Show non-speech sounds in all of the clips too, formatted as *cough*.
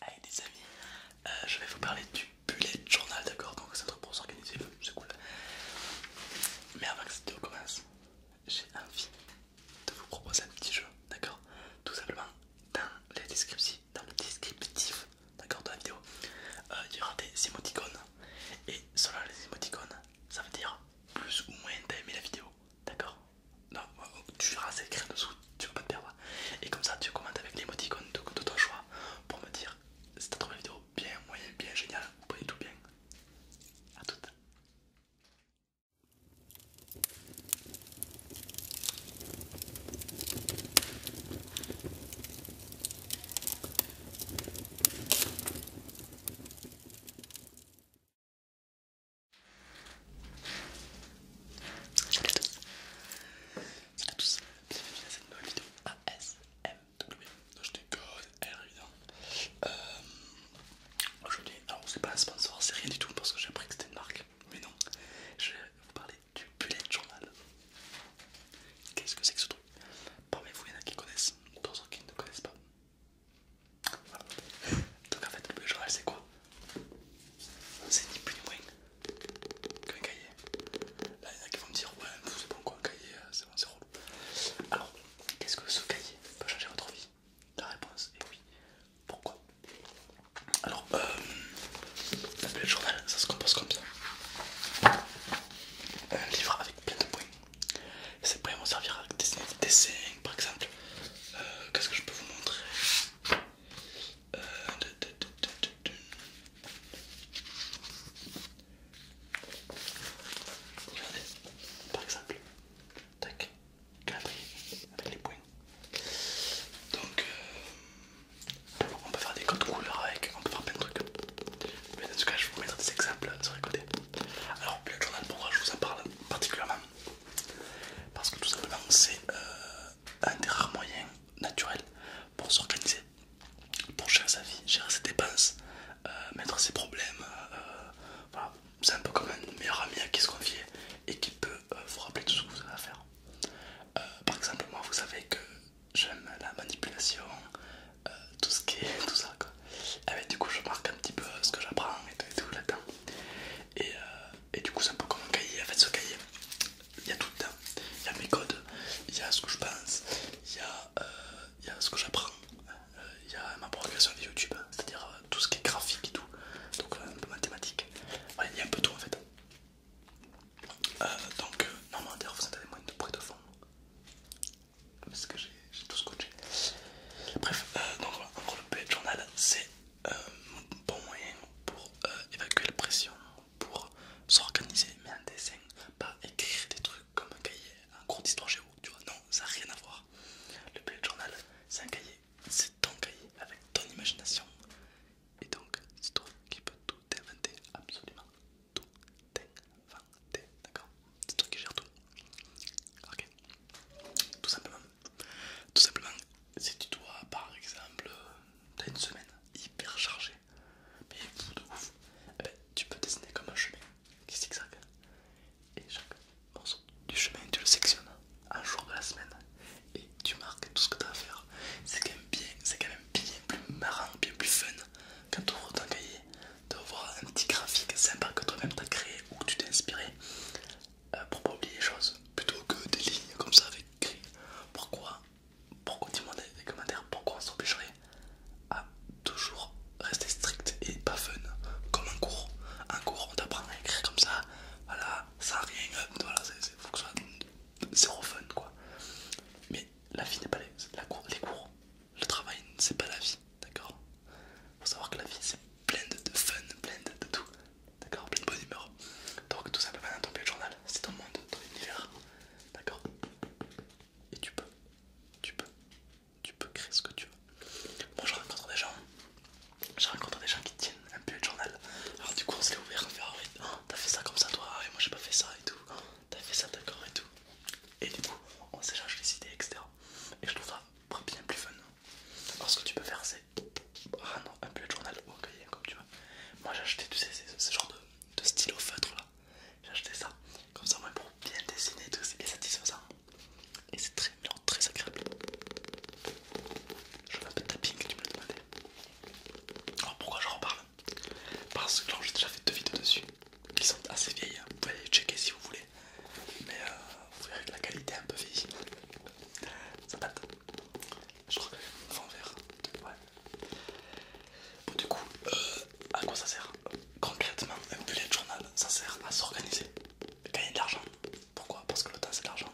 Hey les amis, euh, je vais vous parler du bullet journal, d'accord Donc c'est un truc pour s'organiser, c'est cool. Mais avant que cette vidéo commence, j'ai envie de vous proposer un petit jeu, d'accord Tout simplement dans la description, dans le descriptif, d'accord de la vidéo, euh, il y aura des émoticônes. Et selon les émoticônes, ça veut dire plus ou moins d'aimer la vidéo, d'accord non, euh, tu verras, c'est en dessous, tu vas pas te perdre. Et comme ça, tu commentes avec l'émoticône de, de ton choix pour me dire si t'as trouvé la vidéo bien, moyenne, bien, géniale, ou tout bien. A toute. Salut à tous Bienvenue dans cette nouvelle vidéo ASMW Non je déconne, elle hein. euh, évident Aujourd'hui, alors c'est pas un sponsor, c'est rien du tout parce que j'ai appris que c'était une marque Mais non, je vais vous parler du bullet journal Qu'est-ce que c'est que ce truc parlez vous, il y en a qui connaissent, d'autres qui ne connaissent pas Donc en fait le bullet journal c'est quoi c'est ni plus ni moins qu'un cahier. Là, il y en a qui vont me dire Ouais, c'est bon quoi, un cahier, euh, c'est bon, c'est relou. Alors, qu'est-ce que ce cahier peut changer votre vie La réponse est oui. Pourquoi Alors, euh, la le journal, ça se compose comme ça. Un livre avec plein de points. Ces points vont servir à dessiner des dessins, par exemple. Euh, qu'est-ce que je peux vous montrer euh, Regardez, par exemple, tac, calendrier avec les points. Donc, euh, on peut faire des codes couleurs avec, on peut faire plein de trucs. Mais en tout cas, je vais vous mettre des exemples sur les côtés. Alors, le journal, pourquoi je vous en parle particulièrement Parce que tout simplement, c'est euh, un des rares moyens naturels pour s'organiser, pour gérer sa vie, gérer ses dépenses, euh, mettre ses problèmes. Euh, C'est un peu comme un meilleur ami à qui se confier et qui peut euh, vous rappeler tout ce que vous avez à faire. par exemple, moi, vous savez que j'aime la manipulation, tout ce qui est *laughs* tout ça. Eh ben, du coup, je marque un petit peu ce que j'apprends et tout, tout là-dedans et, euh, et du coup c'est un peu comme un cahier en fait ce cahier il y a tout dedans il y a mes codes il y a ce que je pense il y a, euh, il y a ce que j'apprends euh, il y a ma progression de youtube c'est à dire tout ce qui est graphique et tout donc un peu mathématique il y a un peu tout en fait donc non normalement d'ailleurs vous avez moins de bruit de fond parce que j'ai tout scotché bref donc voilà en le bullet journal c'est un euh, bon moyen pour euh, évacuer la pression, pour s'organiser, mais un dessin, pas écrire des trucs comme un cahier, un cours d'histoire géo, tu vois, non, ça n'a rien à voir. Le bullet journal, c'est un cahier, c'est ton cahier avec ton imagination, et donc c'est toi qui peux tout inventer, absolument tout inventer, d'accord C'est toi qui gère tout, ok Tout simplement. Tout simplement, si tu dois, par exemple, t'as une semaine hyper chargée, mais fou de ouf, eh ben, tu peux dessiner comme un chemin qui zigzague. Et chaque morceau du chemin, tu le sectionnes un jour de la semaine et tu marques tout ce que tu as à faire. C'est quand, quand même bien plus marrant, bien plus fun quand tu ouvres ton cahier de voir un petit graphique sympa que toi-même t'as créé ou que tu t'es inspiré pour pas oublier les choses plutôt que des lignes comme ça avec gris. Pourquoi Pourquoi dis-moi dans les commentaires pourquoi on s'empêcherait à toujours rester strict et pas fun comme un cours. Un cours on t'apprend à écrire comme ça, voilà, sans rien, euh, voilà, faut que ce soit zéro fun quoi. Mais la vie n'est pas la cour, les cours, le travail c'est pas la vie, d'accord Faut savoir que la vie c'est plein de, fun, plein de, tout, d'accord, plein de bonne humeur. Donc tout simplement dans ton journal, c'est ton monde, ton univers, d'accord Et tu peux, tu peux, tu peux créer ce que tu veux. Moi je rencontre des gens, je rencontre des gens qui tiennent un billet journal. Alors du coup on se ouvert, on fait ah oui, ah, t'as fait ça comme ça toi, et moi j'ai pas fait ça et tout, t'as fait ça d'accord et tout. Et du coup on s'échange les idées, etc. Et je trouve ça bien plus fun. Alors ce que tu peux faire c'est ah non, un bullet journal ou cahier, comme tu veux. Moi j'ai acheté, tous ce genre de, stylo feutre là. J'ai acheté ça, comme ça, moi pour bien dessiner, tout, c'est bien satisfaisant. Et c'est très bien très agréable. Je vois un peu de tapping, tu me l'as demandé. Alors pourquoi je reparle Parce que j'ai déjà fait deux vidéos dessus, qui sont assez vieilles. Hein. Vous pouvez aller checker si vous voulez. Mais euh, vous verrez que la qualité est un peu vieille ça date. Je crois que fond vert. du coup, euh, à quoi ça sert Concrètement, un bullet journal, ça sert à s'organiser, gagner de l'argent. Pourquoi Parce que le temps c'est de l'argent.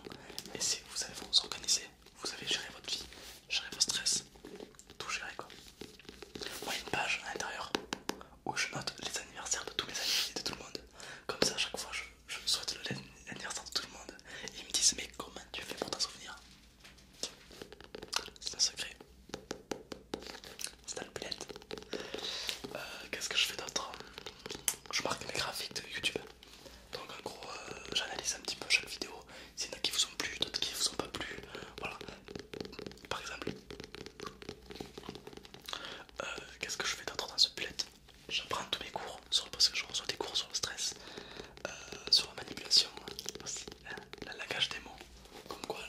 Et si vous savez vous organiser, vous avez géré votre vie, gérer vos stress, tout gérer quoi. Moi, une page à l'intérieur où je note les anniversaires de tous mes amis et de tout le monde. Comme ça, à chaque fois, je je souhaite l'anniversaire de tout le monde. Et ils me disent mais comment tu fais pour t'en souvenir C'est un secret. C'est un le euh, Qu'est-ce que je fais d'autre Je marque mes graphiques de YouTube. Donc en gros euh, j'analyse un petit peu chaque vidéo. S'il y en a qui vous ont plu, d'autres qui vous ont pas plu. Voilà. Par exemple. Euh, qu'est-ce que je fais d'autre dans ce bullet j'apprends tous mes cours sur, parce que je reçois des cours sur le stress, euh, sur la manipulation hein. la langage des mots, comme quoi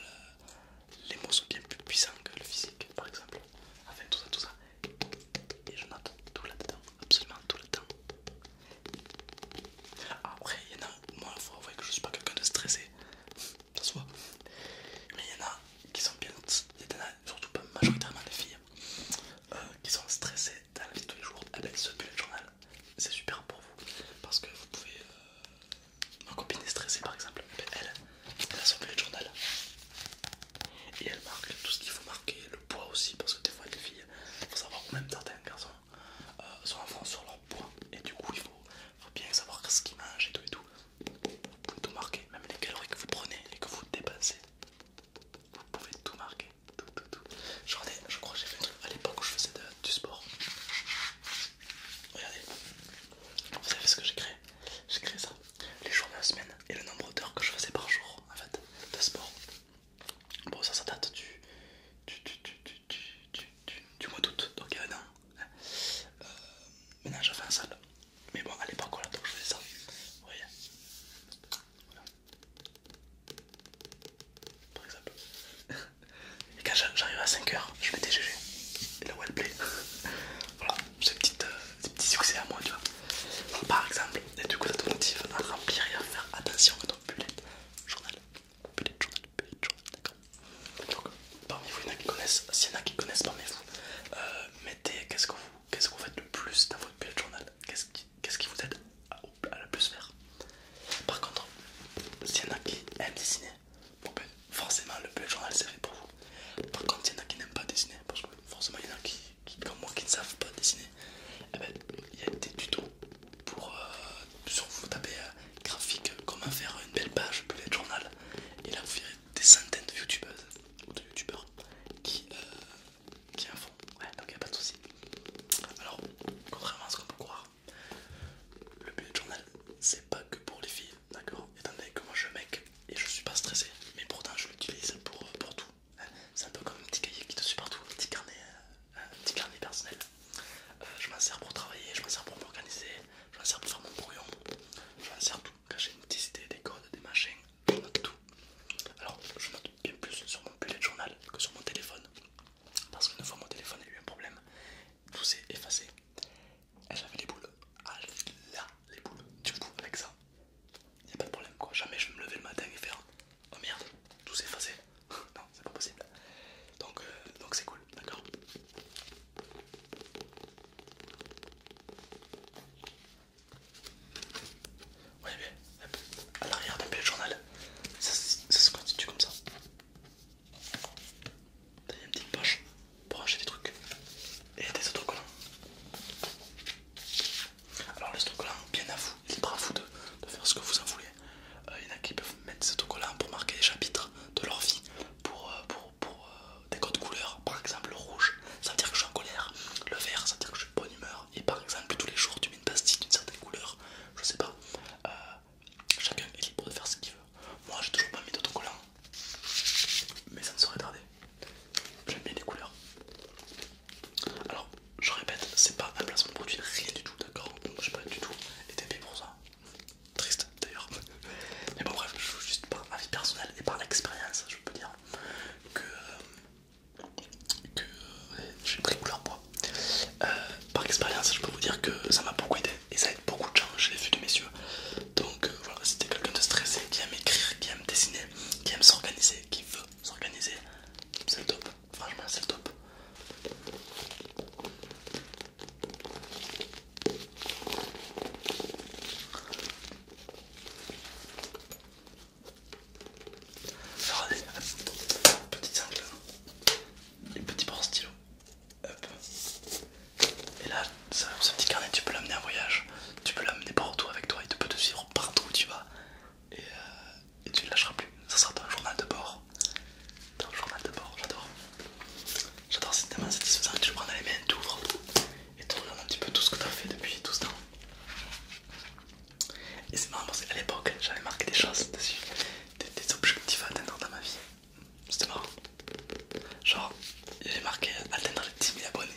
les mots sont bien plus puissants que le physique par exemple, enfin tout ça, tout ça, et je note tout là-dedans, absolument tout le temps Après, il y en a, moi il faut avouer que je suis pas quelqu'un de stressé, ça se mais il y en a qui sont bien, surtout pas majoritairement des filles, euh, qui sont stressées dans la vie de tous les jours, eh se ce bullet journal, c'est super pour vous parce que vous pouvez. Euh, ma copine est stressée par exemple, elle, elle a son bullet journal et elle marque tout ce qu'il faut marquer, le poids aussi, parce que des fois les filles, il faut savoir, ou même certains garçons, euh, sont en fond sur leur poids et du coup il faut, faut bien savoir ce qu'ils mangent et tout et tout. Vous pouvez tout marquer, même les calories que vous prenez et que vous dépensez. Vous pouvez tout marquer, tout, tout, tout. Je, crois que j'ai fait un truc à l'époque où je faisais du sport. Regardez, vous savez ce que j'ai créé J'ai créé ça, les jours de la semaine et le nombre d'heures que je faisais par jour en fait de sport. Bon, ça, ça date du, mois d'août, donc il y a un an. Hein. Euh, maintenant, je fais un salle mais bon, à l'époque, là, donc je faisais ça. Vous voyez Par exemple. *laughs* Et quand j'arrive à 5h, je des GG. Et la Play. *laughs* voilà, ces, petites, euh, ces petits succès à moi, tu vois. par exemple, et du coup, ça te motive à remplir et à faire attention à ton bullet journal. Bullet journal, bullet journal, d'accord. Donc, parmi vous, il y en a qui connaissent, s'il y en a qui connaissent parmi vous, euh, mettez qu'est-ce que vous Qu'est-ce que vous faites le plus dans votre bullet journal Qu'est-ce qui, vous aide à, le plus faire Par contre, s'il y en a qui aiment dessiner, ben, forcément le bullet journal c'est fait pour vous. Par contre, s'il y en a qui n'aiment pas dessiner, parce que forcément il y en a qui, comme moi qui ne savent pas dessiner, eh ben, il y a des tutos pour euh, sur vous taper euh, graphique, comment faire une belle page bullet journal et là vous verrez des centaines de youtubeuses ou de youtubeurs qui, en euh, font, ouais, donc il a pas de souci. Alors, contrairement à ce qu'on peut croire, le bullet journal c'est pas que pour les filles, d'accord Étant donné que moi je mec et je suis pas stressé, mais pourtant je l'utilise pour, euh, pour tout. Hein. C'est un peu comme un petit cahier qui te suit partout, euh, un petit carnet, personnel. je m'en sers pour travailler, je m'en sers pour m'organiser, je m'en sers pour faire mon brouillon, je m'en sers quand j'ai une petite idée, des codes, des machins, tout. Alors je note bien plus sur mon bullet journal que sur mon téléphone. Parce qu'une fois mon téléphone a eu un problème, tout s'est effacé. Et eh, j'avais les boules. Ah là, les boules. Du coup, avec ça, il a pas de problème quoi. Jamais je vais me lever le matin et faire Oh merde, tout s'est effacé. *laughs* non, c'est pas possible. Donc euh, donc c'est cool, d'accord oui, mais euh, à l'arrière d'un de journal, ça, se constitue comme ça. a une petite poche pour acheter des trucs et des autocollants. Alors, les autocollants, bien à vous, libre à vous de, faire ce que vous en voulez. Euh, il y en a qui peuvent mettre des autocollants pour marquer les chapitres de leur vie, pour euh, pour, euh, des codes couleurs. Par exemple, le rouge, ça veut dire que je suis en colère. Le vert, ça veut dire que je suis de bonne humeur. Et par exemple, tous les jours, tu mets une pastille d'une certaine couleur. Je sais pas. Euh, chacun est libre de faire ce qu'il veut. Moi, j'ai toujours pas mis d'autocollant, mais ça ne serait tarder. J'aime bien les couleurs. Alors, je répète, c'est pas un placement de produit, rien du tout, d'accord Donc, j'ai pas du tout été payé pour ça. Triste d'ailleurs. Mais bon, bref, je, juste par ma vie personnelle et par l'expérience, je peux dire que, suis euh, euh, j'ai couleur bois. Euh, par expérience, je peux vous dire que ça m'a beaucoup aidé et ça aide beaucoup de gens, je l'ai vu de messieurs. Donc voilà, voilà, c'était quelqu'un de stressé qui aime écrire, qui aime dessiner, qui aime s'organiser, qui veut s'organiser. C'est le top, franchement, c'est le top. Regardez, petit sangle, et petit bord stylo. Et là, ce petit carnet, tu peux l'amener en voyage, tu peux l'amener partout avec toi, il tu peut te suivre partout où tu vas et, euh, tu ne lâcheras plus. Ça sera ton journal de bord. Ton journal de bord, j'adore. J'adore, c'est tellement satisfaisant que tu le prends dans les mains, tu ouvres et tu un petit peu tout ce que tu as fait depuis tout ce temps. Et c'est marrant parce qu'à l'époque j'avais marqué des choses dessus, des, objectifs à atteindre dans ma vie. C'était marrant. Genre, j'ai marqué atteindre les 10 000 abonnés.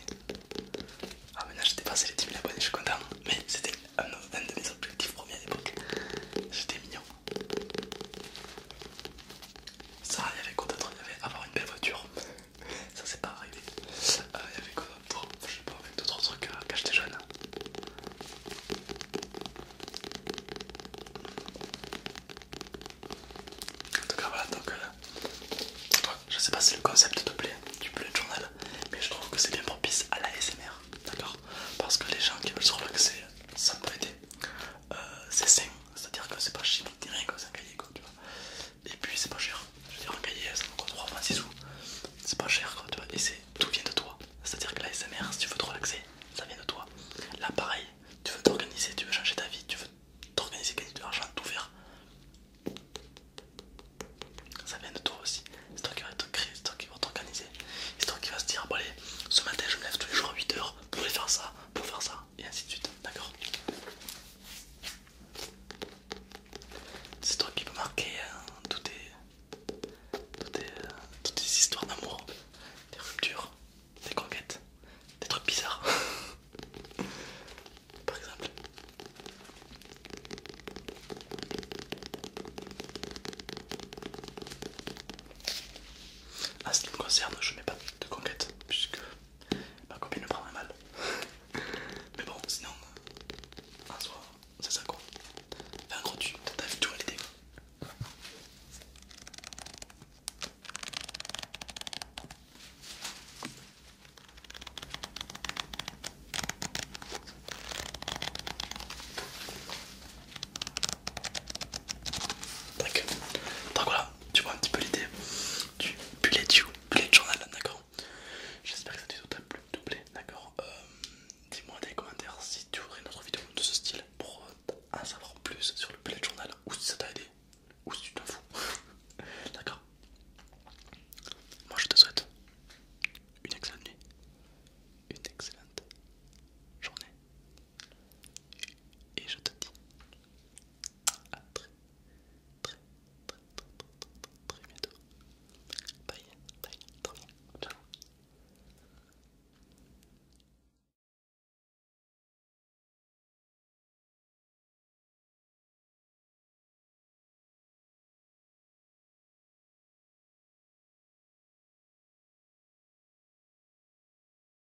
Ah, maintenant j'ai dépassé les 10 000 abonnés, je suis content. Mais c'était un de mes objectifs premiers à l'époque. J'étais mignon. Ça, il y avait quoi d'autre Il y avait avoir une belle voiture. *laughs* Ça, s'est pas arrivé. Euh, il y avait quoi d'autre Je sais pas, avec d'autres trucs à quand jeune. En tout cas, voilà. Donc, euh, je sais pas si le concept te plaît du de journal, mais je trouve que c'est bien propice à la SMR. D'accord Parce que les gens qui veulent se relaxer, ça peut aider. Euh, c'est simple c'est à dire que c'est pas chiant ni rien, c'est un cahier quoi, tu vois. Et puis c'est pas cher, je veux dire, un cahier ça coûte 3 francs sous, c'est pas cher quoi, tu vois. Et c'est tout vient de toi, c'est à dire que la SMR, si tu veux te relaxer, ça vient de toi. Là, pareil, tu veux t'organiser, tu veux changer ta vie, tu veux t'organiser, gagner de l'argent, tout faire. Ça vient de toi aussi, c'est toi qui va te créer, c'est toi qui va t'organiser, c'est toi qui vas se dire, bon allez, ce matin je me lève tous les jours à 8h pour aller faire ça, pour faire ça, et ainsi de suite, d'accord C'est toi qui peut marquer hein, toutes tes toutes histoires d'amour, des ruptures, des conquêtes, des trucs bizarres. *laughs* Par exemple. En ah, ce qui me concerne, je n'ai pas de conquête puisque Ma copine le prendrait mal. *laughs* Mais bon, sinon, en euh, soi, c'est ça quoi. Fais un gros tu, t'as vu tout à l'été. Tac, donc voilà, tu vois un petit peu l'idée du bullet, journal, d'accord J'espère que ça vidéo t'a plu, d'accord euh, Dis-moi dans les commentaires si tu voudrais une autre vidéo de ce style pour euh, en savoir plus sur le bullet journal ou si ça t'a aidé ou si tu t'en fous, *laughs* d'accord Moi je te souhaite une excellente nuit, une excellente journée et je te dis à très bientôt.